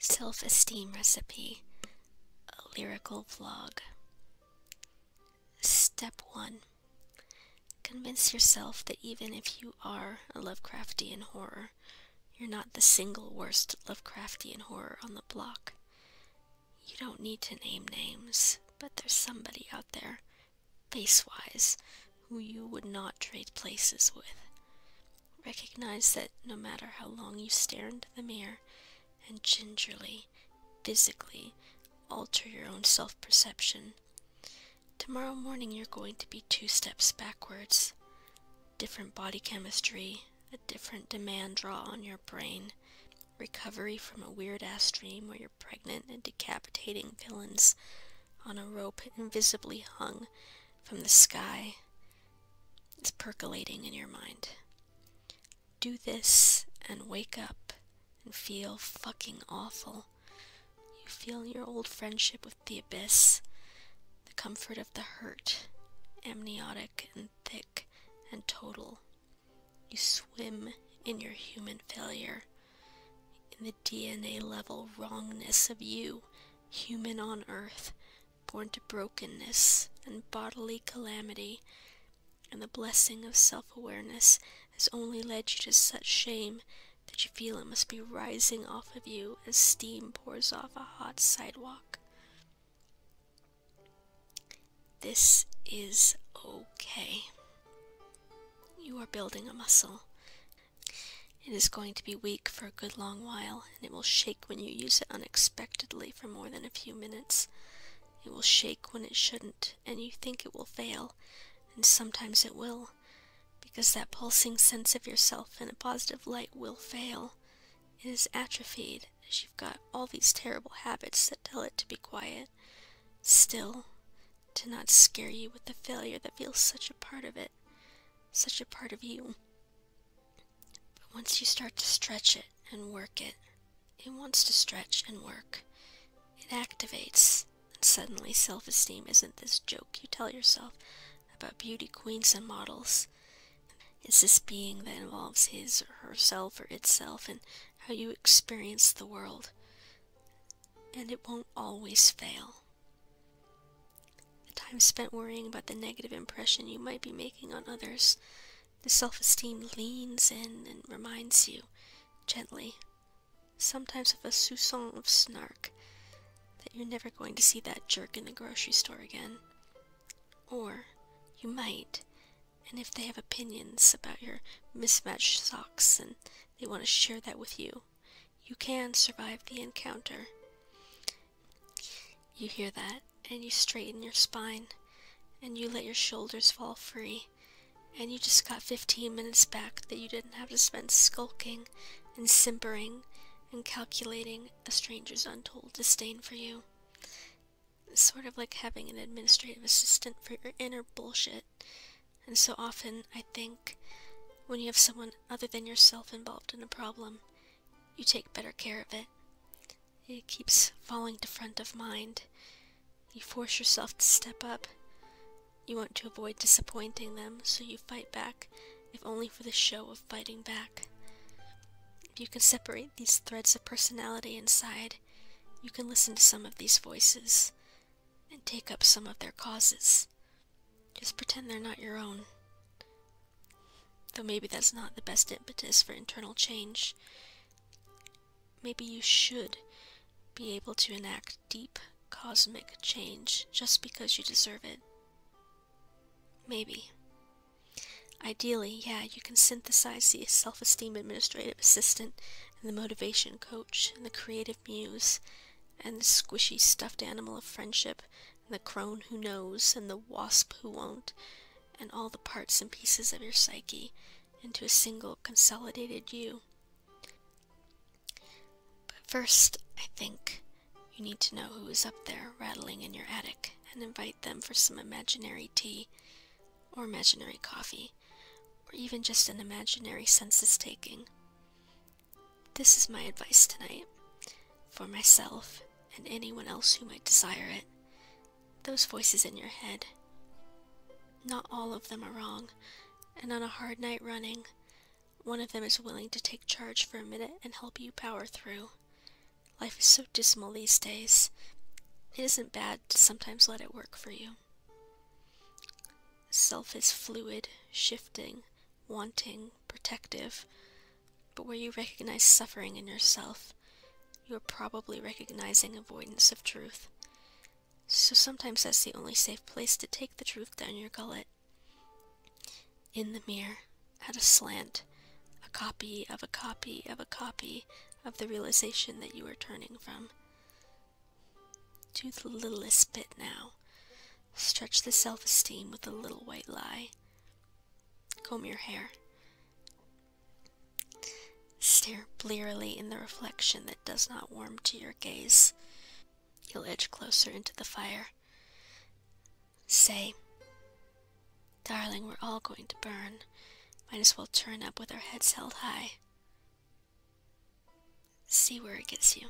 Self Esteem Recipe A Lyrical Vlog. Step 1 Convince yourself that even if you are a Lovecraftian horror, you're not the single worst Lovecraftian horror on the block. You don't need to name names, but there's somebody out there, face wise, who you would not trade places with. Recognize that no matter how long you stare into the mirror and gingerly, physically alter your own self perception, tomorrow morning you're going to be two steps backwards. Different body chemistry, a different demand draw on your brain, recovery from a weird ass dream where you're pregnant and decapitating villains on a rope invisibly hung from the sky. It's percolating in your mind. Do this and wake up and feel fucking awful. You feel your old friendship with the abyss, the comfort of the hurt, amniotic and thick and total. You swim in your human failure, in the DNA level wrongness of you, human on earth, born to brokenness and bodily calamity, and the blessing of self awareness has only led you to such shame that you feel it must be rising off of you as steam pours off a hot sidewalk. This is okay. You are building a muscle. It is going to be weak for a good long while, and it will shake when you use it unexpectedly for more than a few minutes. It will shake when it shouldn't, and you think it will fail, and sometimes it will, because that pulsing sense of yourself in a positive light will fail. It is atrophied, as you've got all these terrible habits that tell it to be quiet. Still, to not scare you with the failure that feels such a part of it, such a part of you. But once you start to stretch it and work it, it wants to stretch and work. It activates, and suddenly self esteem isn't this joke you tell yourself about beauty queens and models. It's this being that involves his or herself or itself and how you experience the world. And it won't always fail. The time spent worrying about the negative impression you might be making on others, the self esteem leans in and reminds you, gently, sometimes with a soupçon of snark, that you're never going to see that jerk in the grocery store again. Or you might, and if they have opinions about your mismatched socks and they want to share that with you, you can survive the encounter. You hear that, and you straighten your spine, and you let your shoulders fall free, and you just got 15 minutes back that you didn't have to spend skulking and simpering and calculating a stranger's untold disdain for you. It's sort of like having an administrative assistant for your inner bullshit. And so often, I think, when you have someone other than yourself involved in a problem, you take better care of it. It keeps falling to front of mind. You force yourself to step up. You want to avoid disappointing them, so you fight back if only for the show of fighting back. If you can separate these threads of personality inside, you can listen to some of these voices and take up some of their causes. Just pretend they're not your own. Though maybe that's not the best impetus for internal change. Maybe you should be able to enact deep, cosmic change just because you deserve it. Maybe. Ideally, yeah, you can synthesize the self esteem administrative assistant, and the motivation coach, and the creative muse, and the squishy stuffed animal of friendship, and the crone who knows, and the wasp who won't, and all the parts and pieces of your psyche into a single consolidated you. But first, I think you need to know who is up there rattling in your attic and invite them for some imaginary tea or imaginary coffee or even just an imaginary census taking. This is my advice tonight for myself and anyone else who might desire it. Those voices in your head. Not all of them are wrong, and on a hard night running, one of them is willing to take charge for a minute and help you power through. Life is so dismal these days. It isn't bad to sometimes let it work for you. Self is fluid, shifting, wanting, protective, but where you recognize suffering in yourself, you're probably recognizing avoidance of truth. So sometimes that's the only safe place to take the truth down your gullet. In the mirror, at a slant, a copy of a copy of a copy of the realization that you are turning from. Do the littlest bit now. Stretch the self esteem with a little white lie. Comb your hair. Stare blearily in the reflection that does not warm to your gaze. You'll edge closer into the fire. Say, Darling, we're all going to burn. Might as well turn up with our heads held high. See where it gets you.